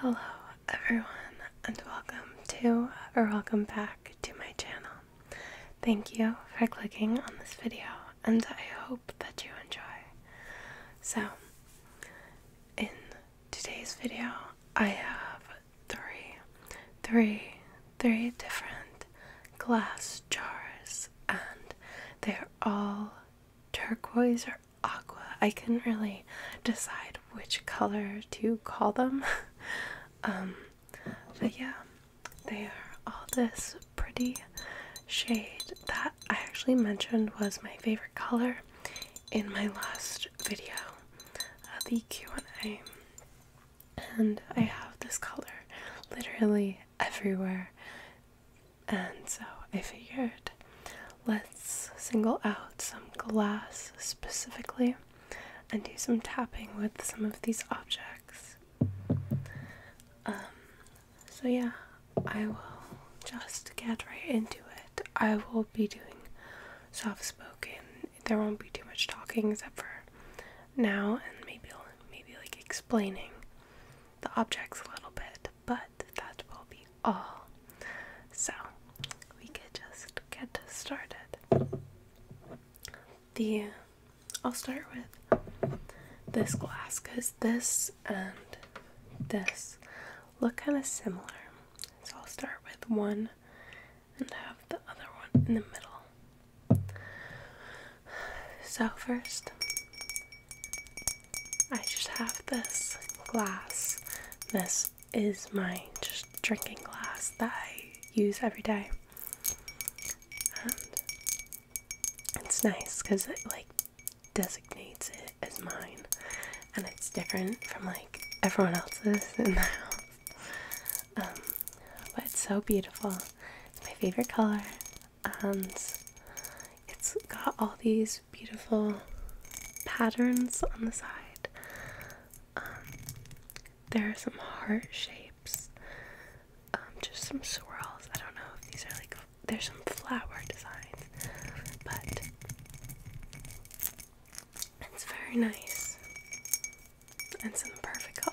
Hello everyone and welcome to or welcome back to my channel. Thank you for clicking on this video and I hope that you enjoy. So in today's video I have three, three, three different glass jars and they're all turquoise or aqua. I couldn't really decide which color to call them. Um, but yeah, they are all this pretty shade that I actually mentioned was my favorite color in my last video, uh, the Q&A. And I have this color literally everywhere. And so I figured Let's single out some glass specifically and do some tapping with some of these objects. Um, so, yeah, I will just get right into it. I will be doing soft spoken. There won't be too much talking except for now and maybe maybe like explaining the objects a little bit, but that will be all. So we could just get started. The I'll start with this glass because this and this look kind of similar. So I'll start with one and have the other one in the middle. So first I just have this glass, this is my drinking glass that I use every day. And it's nice because it like designates it as mine. And it's different from like everyone else's in the house. Um, but it's so beautiful. It's my favorite color. And it's got all these beautiful patterns on the side. Um, there are some heart shapes, um, just some swirls. I don't know if these are like, there's some flower designs, but it's very nice. It's in the perfect color.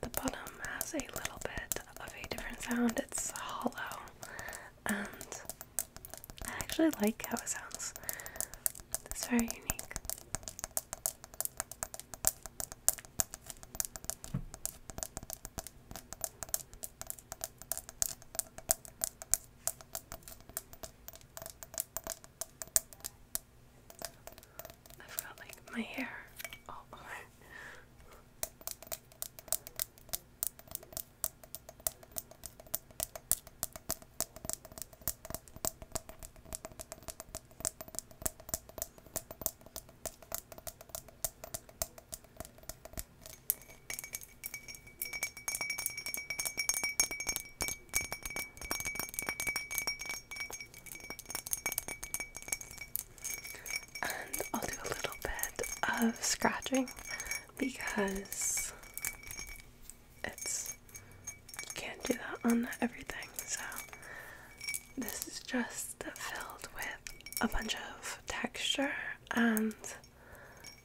The bottom has a little bit of a different sound. It's hollow and I actually like how it sounds. It's very unique. I've like my hair all over. And I'll do a little bit of scratching because it's you can't do that on everything. So this is just filled with a bunch of texture and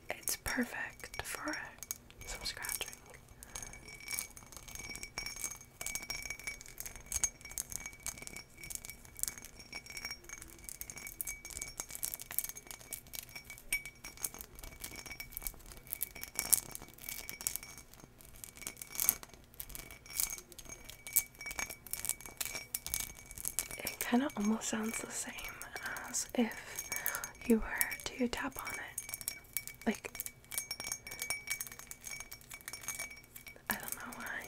it's perfect for some scratching. It kind of almost sounds the same as if you were to tap on it. Like, I don't know why.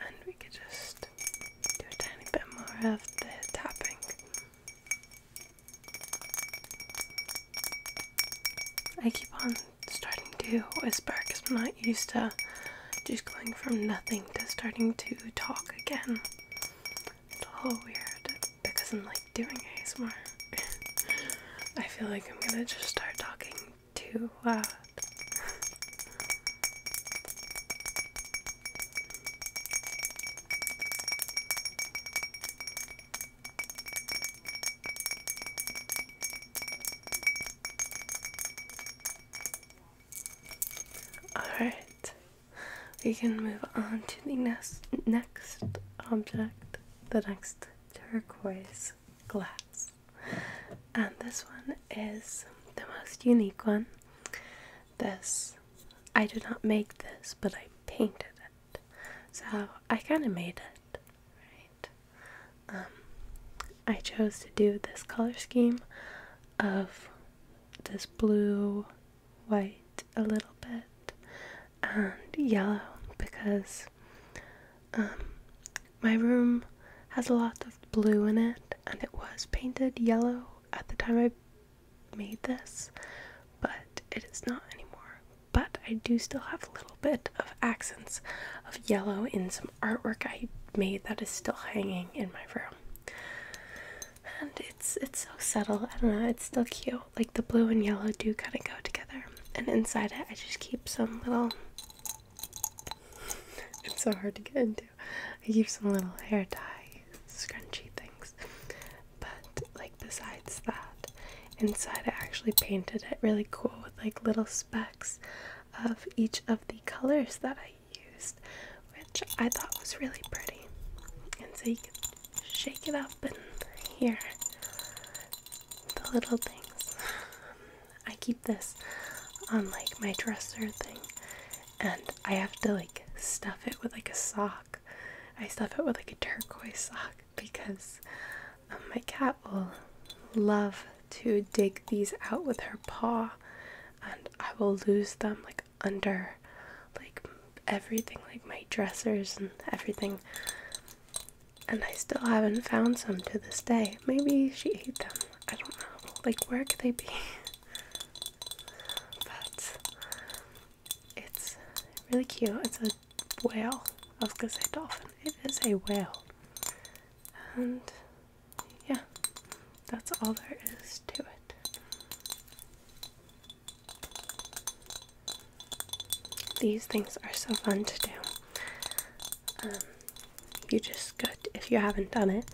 And we could just do a tiny bit more of the tapping. I keep on starting to whisper because I'm not used to just going from nothing to starting to talk again. It's a little weird because I'm like doing ASMR. I feel like I'm gonna just start talking too loud. Uh, Alright, we can move on to the next, next object, the next turquoise glass. And this one is the most unique one. This, I did not make this, but I painted it. So I kind of made it, right? Um, I chose to do this color scheme of this blue, white, a little bit, and yellow because um, my room has a lot of blue in it, and it was painted yellow at the time I made this, but it is not anymore. But I do still have a little bit of accents of yellow in some artwork I made that is still hanging in my room. And it's it's so subtle. I don't know. It's still cute. Like the blue and yellow do kind of go together. And inside it, I just keep some little. it's so hard to get into. I keep some little hair tie scrunchy things. But like besides that, inside I actually painted it really cool with like little specks of each of the colors that I used, which I thought was really pretty. And so you can shake it up and here, the little things. I keep this on like my dresser thing and I have to like stuff it with like a sock. I stuff it with like a turquoise sock because um, my cat will love to dig these out with her paw and I will lose them like under like everything like my dressers and everything and I still haven't found some to this day. Maybe she ate them. I don't know. Like where could they be? but it's really cute. It's a whale. I was gonna say dolphin. It is a whale. And yeah, that's all there is to it. These things are so fun to do. Um, you just go, to, if you haven't done it,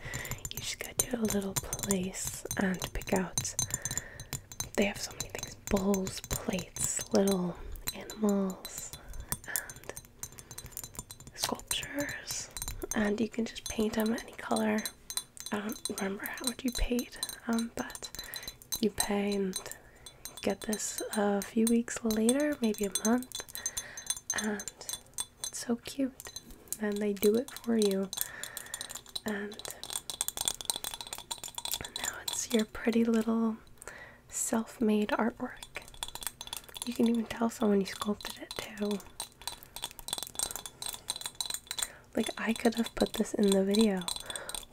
you just go to a little place and pick out. They have so many things bowls, plates, little animals, and sculptures and you can just paint them any color. I don't remember how much you paid, um, but you paint, and get this a few weeks later, maybe a month, and it's so cute. And they do it for you, and now it's your pretty little self made artwork. You can even tell someone you sculpted it too. Like, I could have put this in the video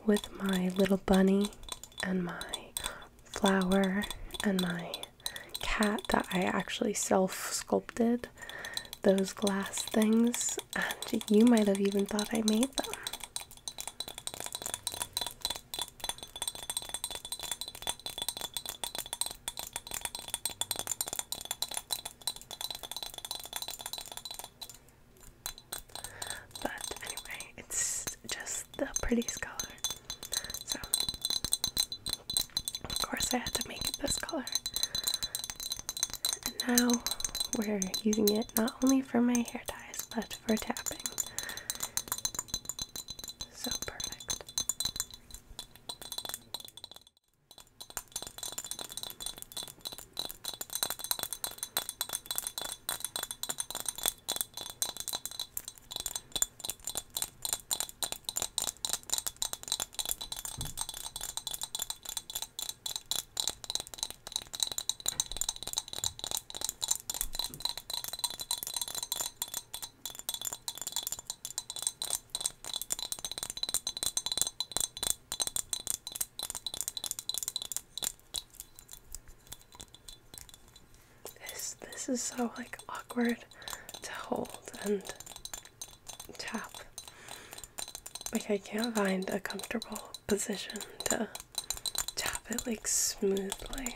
with my little bunny and my flower and my cat that I actually self sculpted those glass things, and you might have even thought I made them. But anyway, it's just the prettiest color. So, of course, I had to make it this color. And now we're using it not only for my hair ties, but for tapping. So perfect. This this is so like awkward to hold and tap. Like I can't find a comfortable position to tap it like smoothly.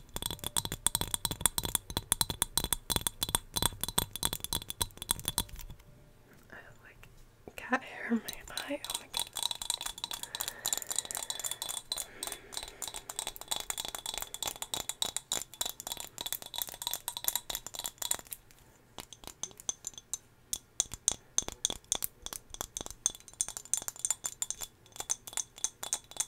I have like cat hair in my eye. Oh my goodness.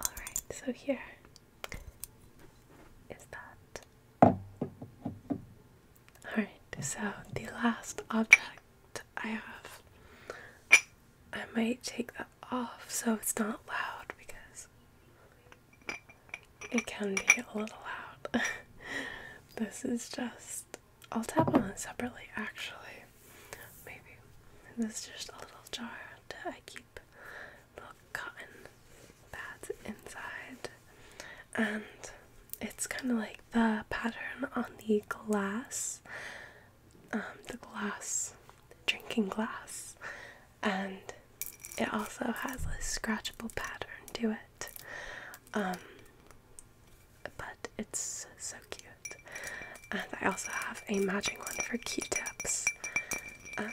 All right, so here is that. Alright, so the last object I have, I might take that off so it's not loud because it can be a little loud. this is just, I'll tap on it separately actually. Maybe. This is just a little jar to IKEA little cotton pads inside. And it's kind of like the pattern on the glass, um, the glass, the drinking glass. And it also has a scratchable pattern to it. Um, but it's so cute. And I also have a matching one for Q tips. Um,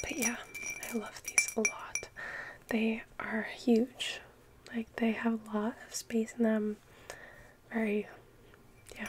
but yeah, I love these a lot. They are huge. Like they have a lot of space in them. Very yeah.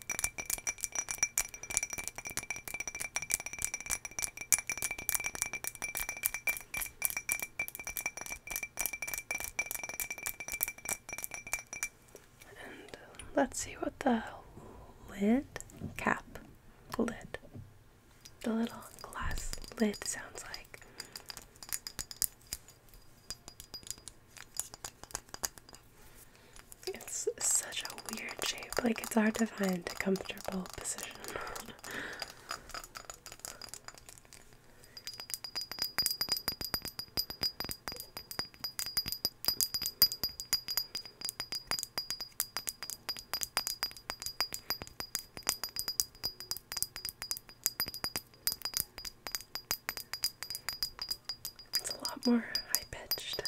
Uh, let's see what the lid cap lid. The little glass lid sounds like. It's such a weird shape, like it's hard to find a comfortable position. It's a lot more high pitched.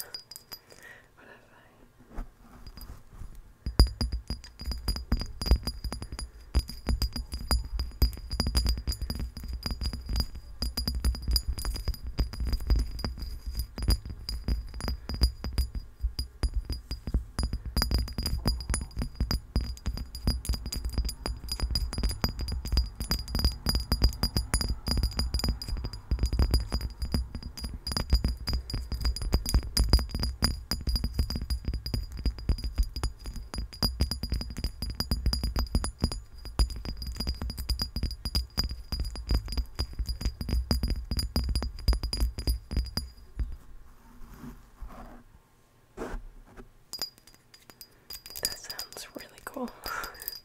That sounds really cool.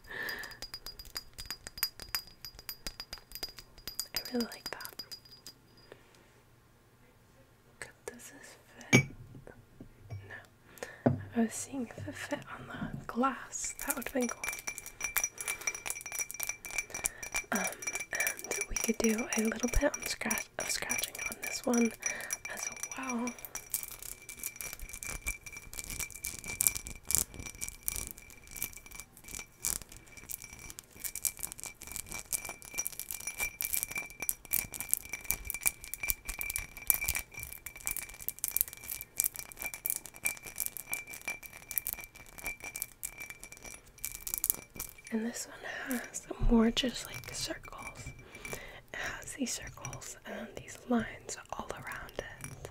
I really like that. does this fit? No. I was seeing if it fit on the glass. That would have been cool. Um, and we could do a little bit of scratching on this one as well. And this one has more just like circles. It has these circles and these lines all around it.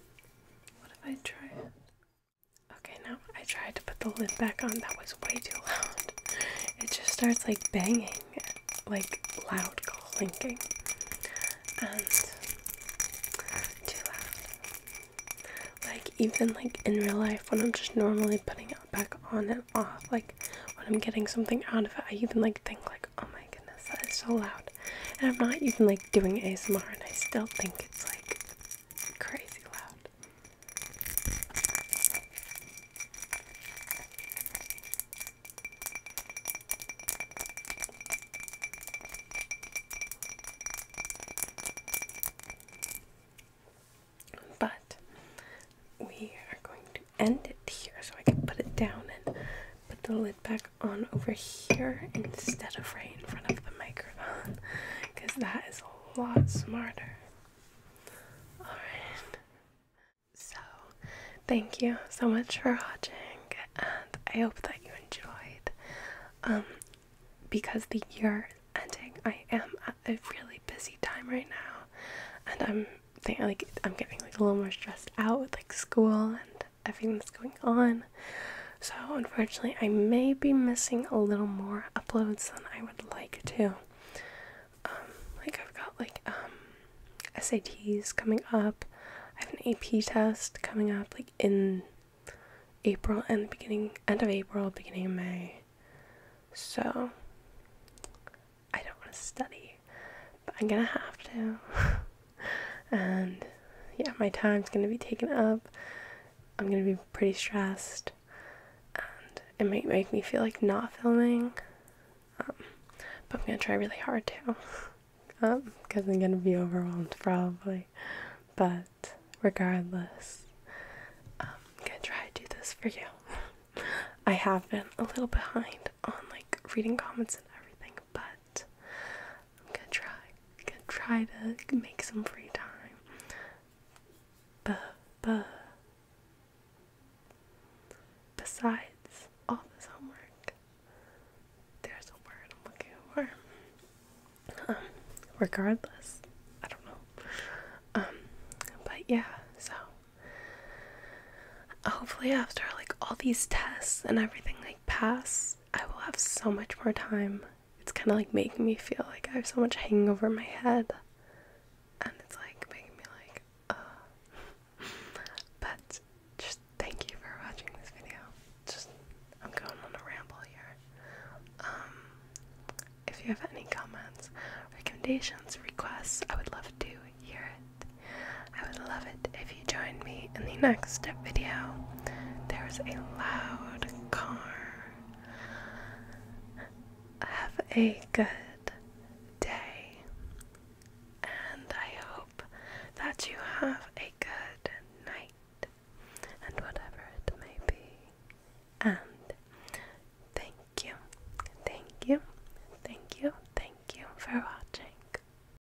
What if I try Okay, now I tried to put the lid back on. That was way too loud. It just starts like banging, like loud clinking, and too loud. Like even like in real life, when I'm just normally putting it back on and off, like when I'm getting something out of it, I even like think like, oh my goodness, that is so loud. And I'm not even like doing ASMR, and I still think it's like crazy loud. But we are going to end it here so I can put it down and put the lid back on over here instead of right in front of the microphone because that is a lot smarter. Alright. So, thank you so much for watching, and I hope that you enjoyed. Um, because the year ending, I am at a really busy time right now, and I'm like I'm getting like a little more stressed out with like school and everything that's going on. So, unfortunately, I may be missing a little more uploads than I would like to. Um, like, I've got like um, SATs coming up, I have an AP test coming up, like in April and the beginning, end of April, beginning of May. So, I don't want to study, but I'm gonna have to. and yeah, my time's gonna be taken up. I'm gonna be pretty stressed, and it might make me feel like not filming. Um, but I'm gonna try really hard to, because um, I'm gonna be overwhelmed probably. But regardless, um, I'm gonna try to do this for you. I have been a little behind on like reading comments and everything, but I'm gonna try, gonna try to make some free time. But, but besides all this homework, there's a word I'm looking for. Um, regardless, I don't know. Um, but yeah, so hopefully after like all these tests and everything like pass I will have so much more time. It's kind of like making me feel like I have so much hanging over my head, and it's like making me like, But just thank you for watching this video. Just I'm going on a ramble here. Um, if you have any comments, recommendations, requests, I would love to hear it. I would love it if you join me in the next step video. There is a loud car. Have a good day, and I hope that you have a good night, and whatever it may be. And thank you, thank you, thank you, thank you for watching.